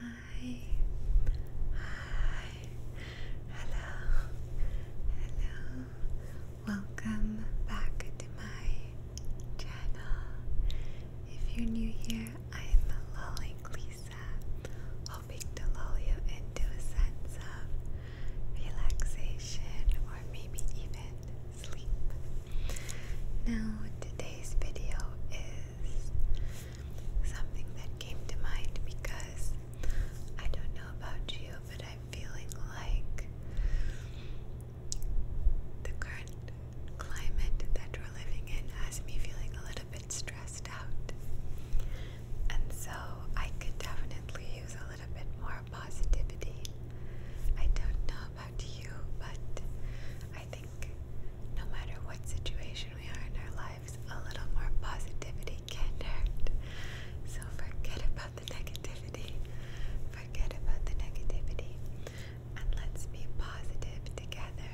Hi. Hello. Hello. Welcome back to my channel. If you're new here, I'm lulling Lisa, hoping to lull you into a sense of relaxation or maybe even sleep. Now, today's video is something that came to mind because I don't know about you, but I'm feeling like the current climate that we're living in has me feeling a little bit stressed out. And so I could definitely use a little bit more positivity. I don't know about you, but I think no matter what situation we are in our lives, a little more positivity can't hurt. So forget about the negativity. Forget about the negativity. And let's be positive together.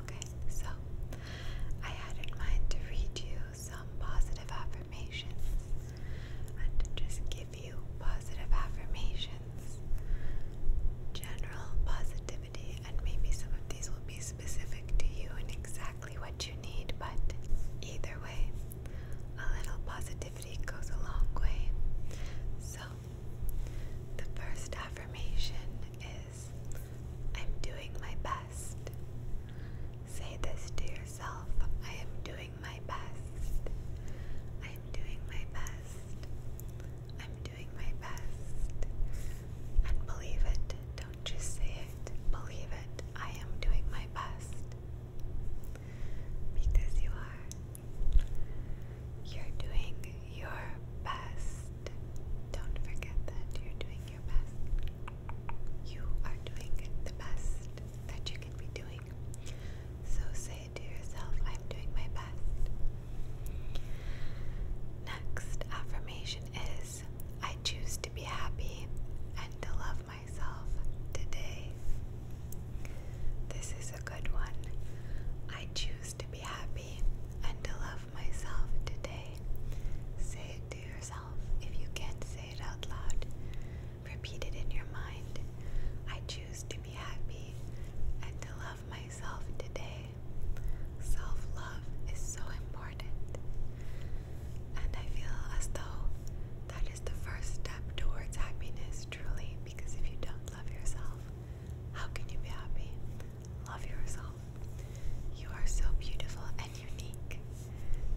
Okay, so I had in mind to read you some positive affirmations and just give you positive affirmations. General positivity, and maybe some of these will be specific to you and exactly what you need, but either way, a little positivity goes a long way. So, the first affirmation is I'm doing my best. Say this to yourself I am doing my best. I am doing my best. I'm doing my best. And believe it, don't just say it. Believe it, I am doing my best. Because you are. You're doing your best. Don't forget that you're doing your best. You are doing the best that you can be doing. So say it to yourself. I'm doing my best. Next affirmation is I choose to be happy and to love myself today. This is a good one. I choose to be happy and to love myself today. Say it to yourself. If you can't say it out loud, repeat it in your mind. I choose to be happy and to love myself today. Self love is so important. And I feel as though that is the first step towards happiness, truly, because if you don't love yourself, how can you be happy? Love yourself. You are so beautiful and unique.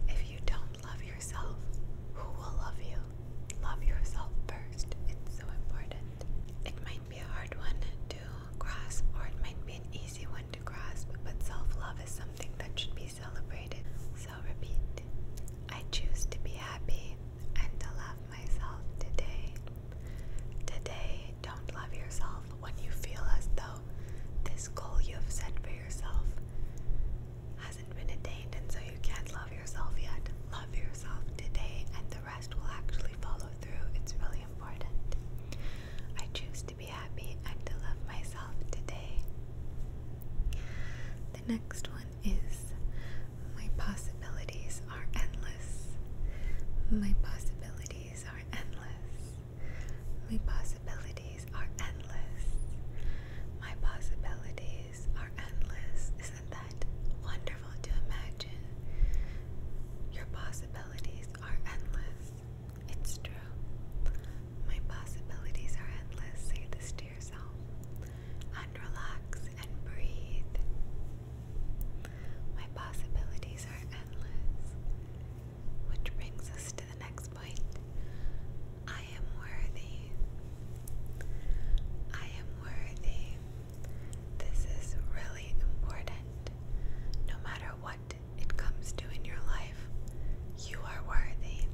If you don't love yourself, who will love you? Love yourself first. It's so important. In my be a hard one to grasp, or it might be an easy one to grasp, but self love is something that should be celebrated. So, repeat I choose to be happy and to love myself today. Today, don't love yourself when you feel as though this goal you have set for yourself hasn't been attained, and so you can't love yourself yet. Love yourself today and the rest will actually follow through. It's really important. I choose to be happy and to love myself today. The next one is my possibilities are endless. My possibilities are endless. My possibilities are endless. My possibilities are endless. Isn't that wonderful to imagine? Your possibilities are endless. It's true. My possibilities are endless. Say this to yourself. And relax and breathe. My possibilities are endless. Which brings us to the next point. I am worthy. I am worthy. This is really important. No matter what it comes to in your life, you are worthy.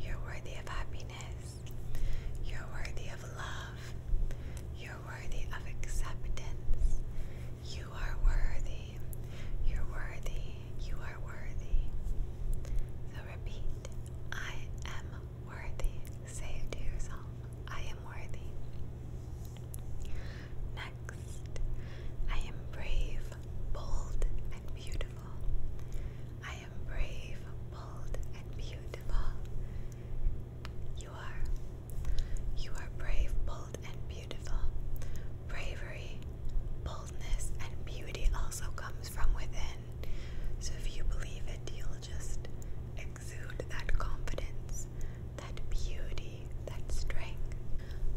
You're worthy of happiness. You're worthy of love. You're worthy of acceptance. You are worthy. You're worthy. You are worthy. So repeat I am worthy. Say it to yourself. I am worthy. Next, I am brave, bold, and beautiful. I am brave, bold, and beautiful. You are. You are brave, bold, and beautiful. Bravery, boldness, and beauty also comes from within. So if you believe it, you'll just exude that confidence, that beauty, that strength.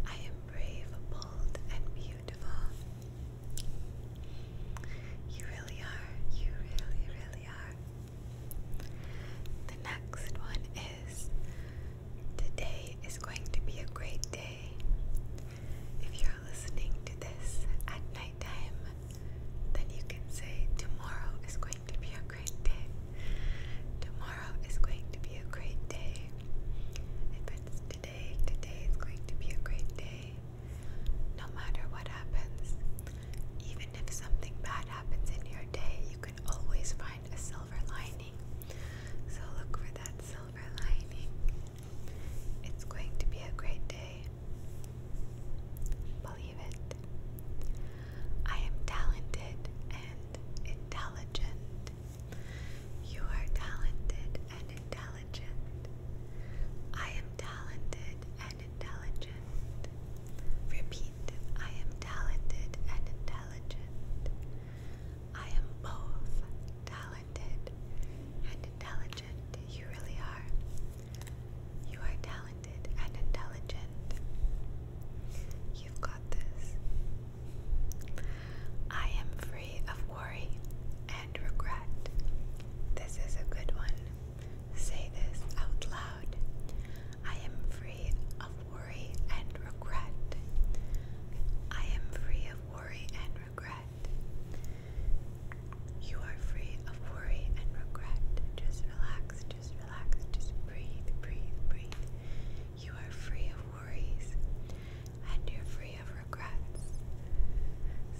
I am brave, bold, and beautiful. You really are. You really, really are. The next one is today is going to be a great day. If you're listening to this at nighttime, then you can say, Tomorrow is going to be a great day. Tomorrow is going to be a great day. If today, today is going to be a great day. No matter what happens, even if something bad happens in your day, you can always find a silver lining. So look for that silver lining. It's going to be a great day. Believe it. I am talented and intelligent. You are talented and intelligent. I am talented and intelligent. Repeat, I am talented and intelligent. I am both talented and intelligent. You really are. You are talented and intelligent. You've got this. I am free of worry and regret. This is a good one. Say this out loud. I am free of worry and regret. I am free of worry and regret. You are free of worry and regret. Just relax just relax. Just breathe, breathe, breathe. You are free of worries and you're free of regrets.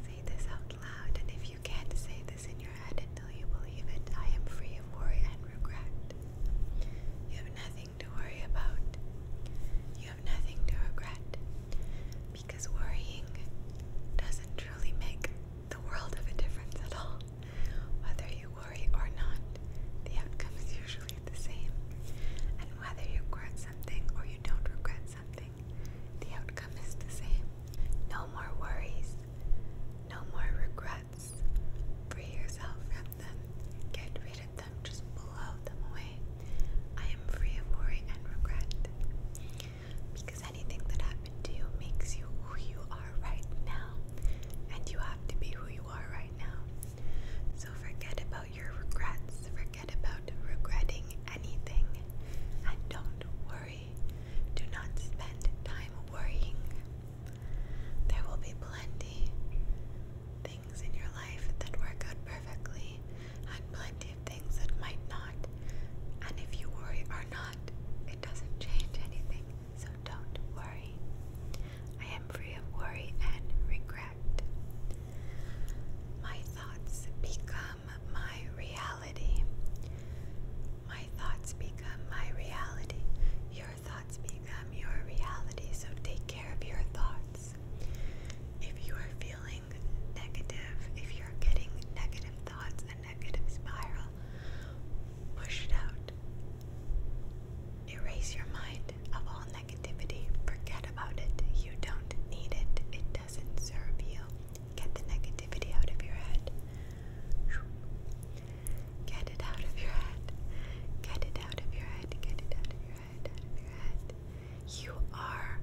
Say this out loud, and if you can't say this in your head until you believe it, I am free of worry and regret. You have nothing to worry about. You have nothing to regret because worrying doesn't truly make the world of a difference at all. Whether you worry or not, the outcome is usually the same. And whether you regret something or you don't regret something, the outcome is the same. No more worries, no more regrets. Free yourself from them, get rid of them, just blow them away. I am free of worry and regret because anything that happened to you makes you who you are right now, and you have to be who you are right now. So forget about your regrets, forget about regretting anything, and don't worry. Do not spend time worrying. There will be plenty things in your life that work out perfectly, and plenty of things that might not. And if you worry are not, it doesn't change anything, so don't worry. I am free of worry and regret. My thoughts become my reality. My thoughts become my reality. Your thoughts become your reality, so take care of your thoughts. If you are feeling negative, if you're getting negative thoughts negative spiral pushed out. Erase your mind of all negativity. Forget about it. You don't need it. It doesn't serve you. Get the negativity out of your head. Get it out of your head. Get it out of your head. Get it out of your head. Out of your head. You are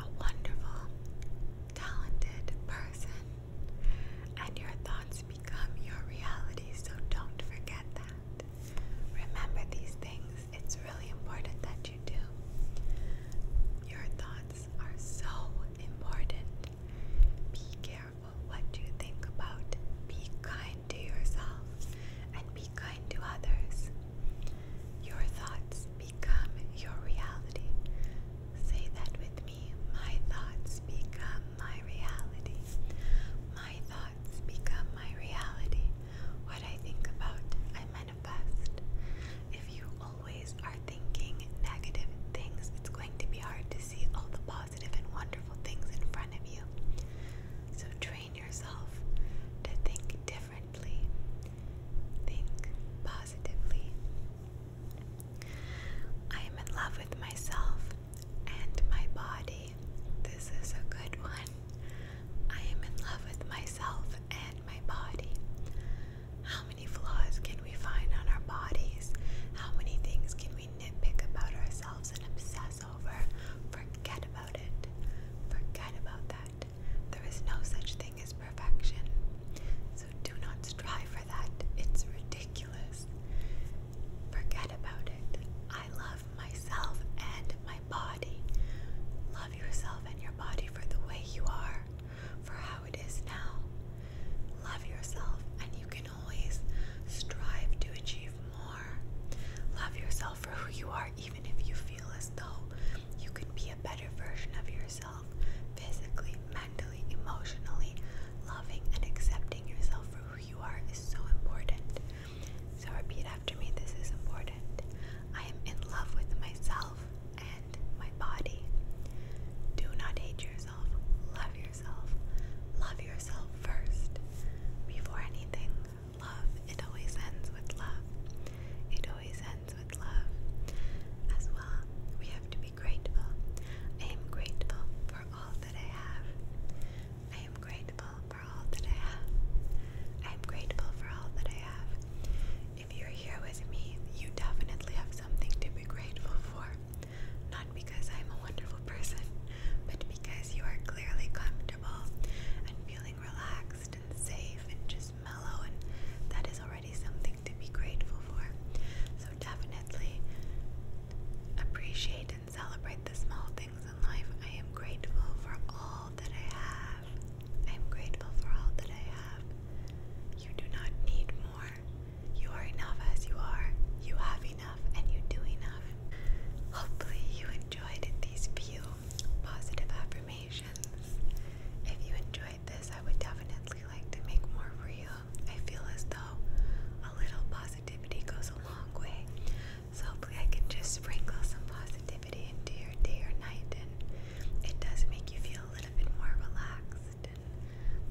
a wonderful, talented person and your thoughts become your reality. So don't forget that. Remember these things, it's really important that you do. Your thoughts are so important. Be careful what you think about, be kind to yourself, and be kind to others. Your thoughts become your reality. Say that with me my thoughts become my reality. My thoughts become my reality. What I think about, I manifest. If you always are thinking negative things, it's going to be hard to see all the positive and wonderful things in front of you. So train yourself to think differently, think positively. I am in love with myself and my body. This is a good one. I am in love with myself and my body. How many flaws can we find on our bodies? How many things can we nitpick about ourselves and obsess over? Forget about it. Forget about that. There is no such thing is perfection. So do not strive for that. It's ridiculous. Forget about it. I love myself and my body. Love yourself and your body for the way you are, for how it is now. Love yourself, and you can always strive to achieve more. Love yourself for who you are, even if you feel as though you could be a better version of yourself physically, mentally, emotionally. Loving and accepting yourself for who you are is so important. So, repeat after me this is important. I am in love with myself and my body. Do not hate yourself. Love yourself. Love yourself first. Before anything, love. It always ends with love. It always ends with love. As well, we have to be grateful. I am grateful for all that I have. I am grateful for all that I have. I am grateful for all that I have. If you're here with me, you definitely have something to be grateful for. Not because I'm a wonderful person, but because you are clearly comfortable and feeling relaxed and safe and just mellow, and that is already something to be grateful for. So definitely appreciate and celebrate the small things in life. I am grateful for all that I have. I am grateful for all that I have. You do not need more. You are enough as you are. You have enough and you do enough. Hopefully, you enjoyed these few positive affirmations. If you enjoyed, this, I would definitely like to make more real. I feel as though a little positivity goes a long way. So hopefully I can just sprinkle some positivity into your day or night and it does make you feel a little bit more relaxed and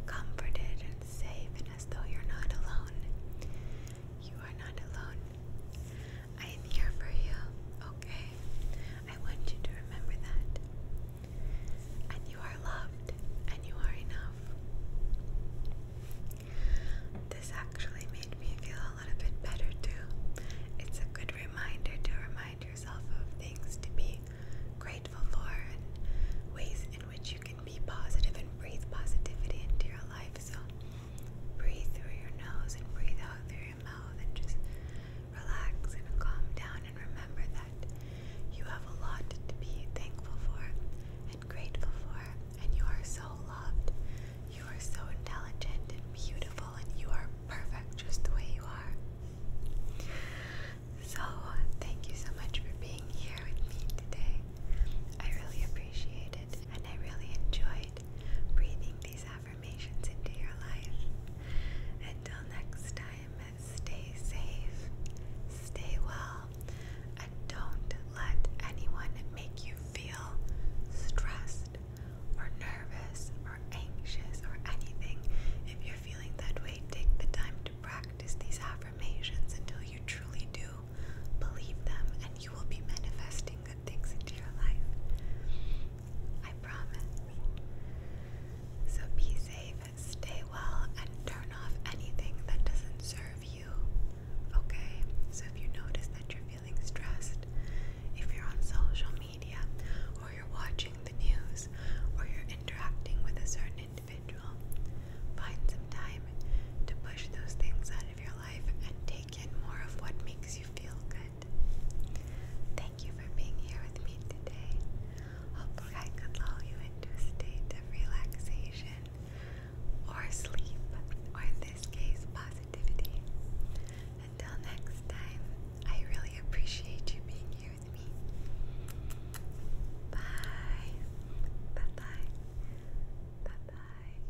comforted and safe and as though you're not alone. You are not alone. I am here for you, okay? I want you to remember that and you are loved and you are enough. This actually made me feel a little bit better too. It's a good reminder to remind yourself of things to be grateful for and ways in which you can be positive and breathe positivity into your life. So breathe through your nose and breathe out through your mouth and just relax, and calm down, and remember that you have a lot to be thankful for and grateful for, and you are so loved. You are so intelligent and beautiful, and you are perfect just the way you are. So, thank you so much for being here with me today. I really appreciate it, and I really enjoyed breathing these affirmations into your life. Until next time, stay safe, stay well, and don't let anyone make you feel stressed or nervous or anxious or anything. If you're feeling that way, take the time to practice these affirmations until you truly do believe them and you will be manifesting good things into your life. I promise. So be safe, stay well, and turn off anything that doesn't serve you. Okay? So if you notice that you're feeling stressed, if you're on social media, or you're watching the news, or you're interacting with a certain individual, find some time to push those things out of your life and take in more of what makes you feel good. Thank you for being here with me today. Hopefully, I could lull you into a state of relaxation or sleep, or in this case, positivity. Until next time, I really appreciate you being here with me. Bye. Bye bye. Bye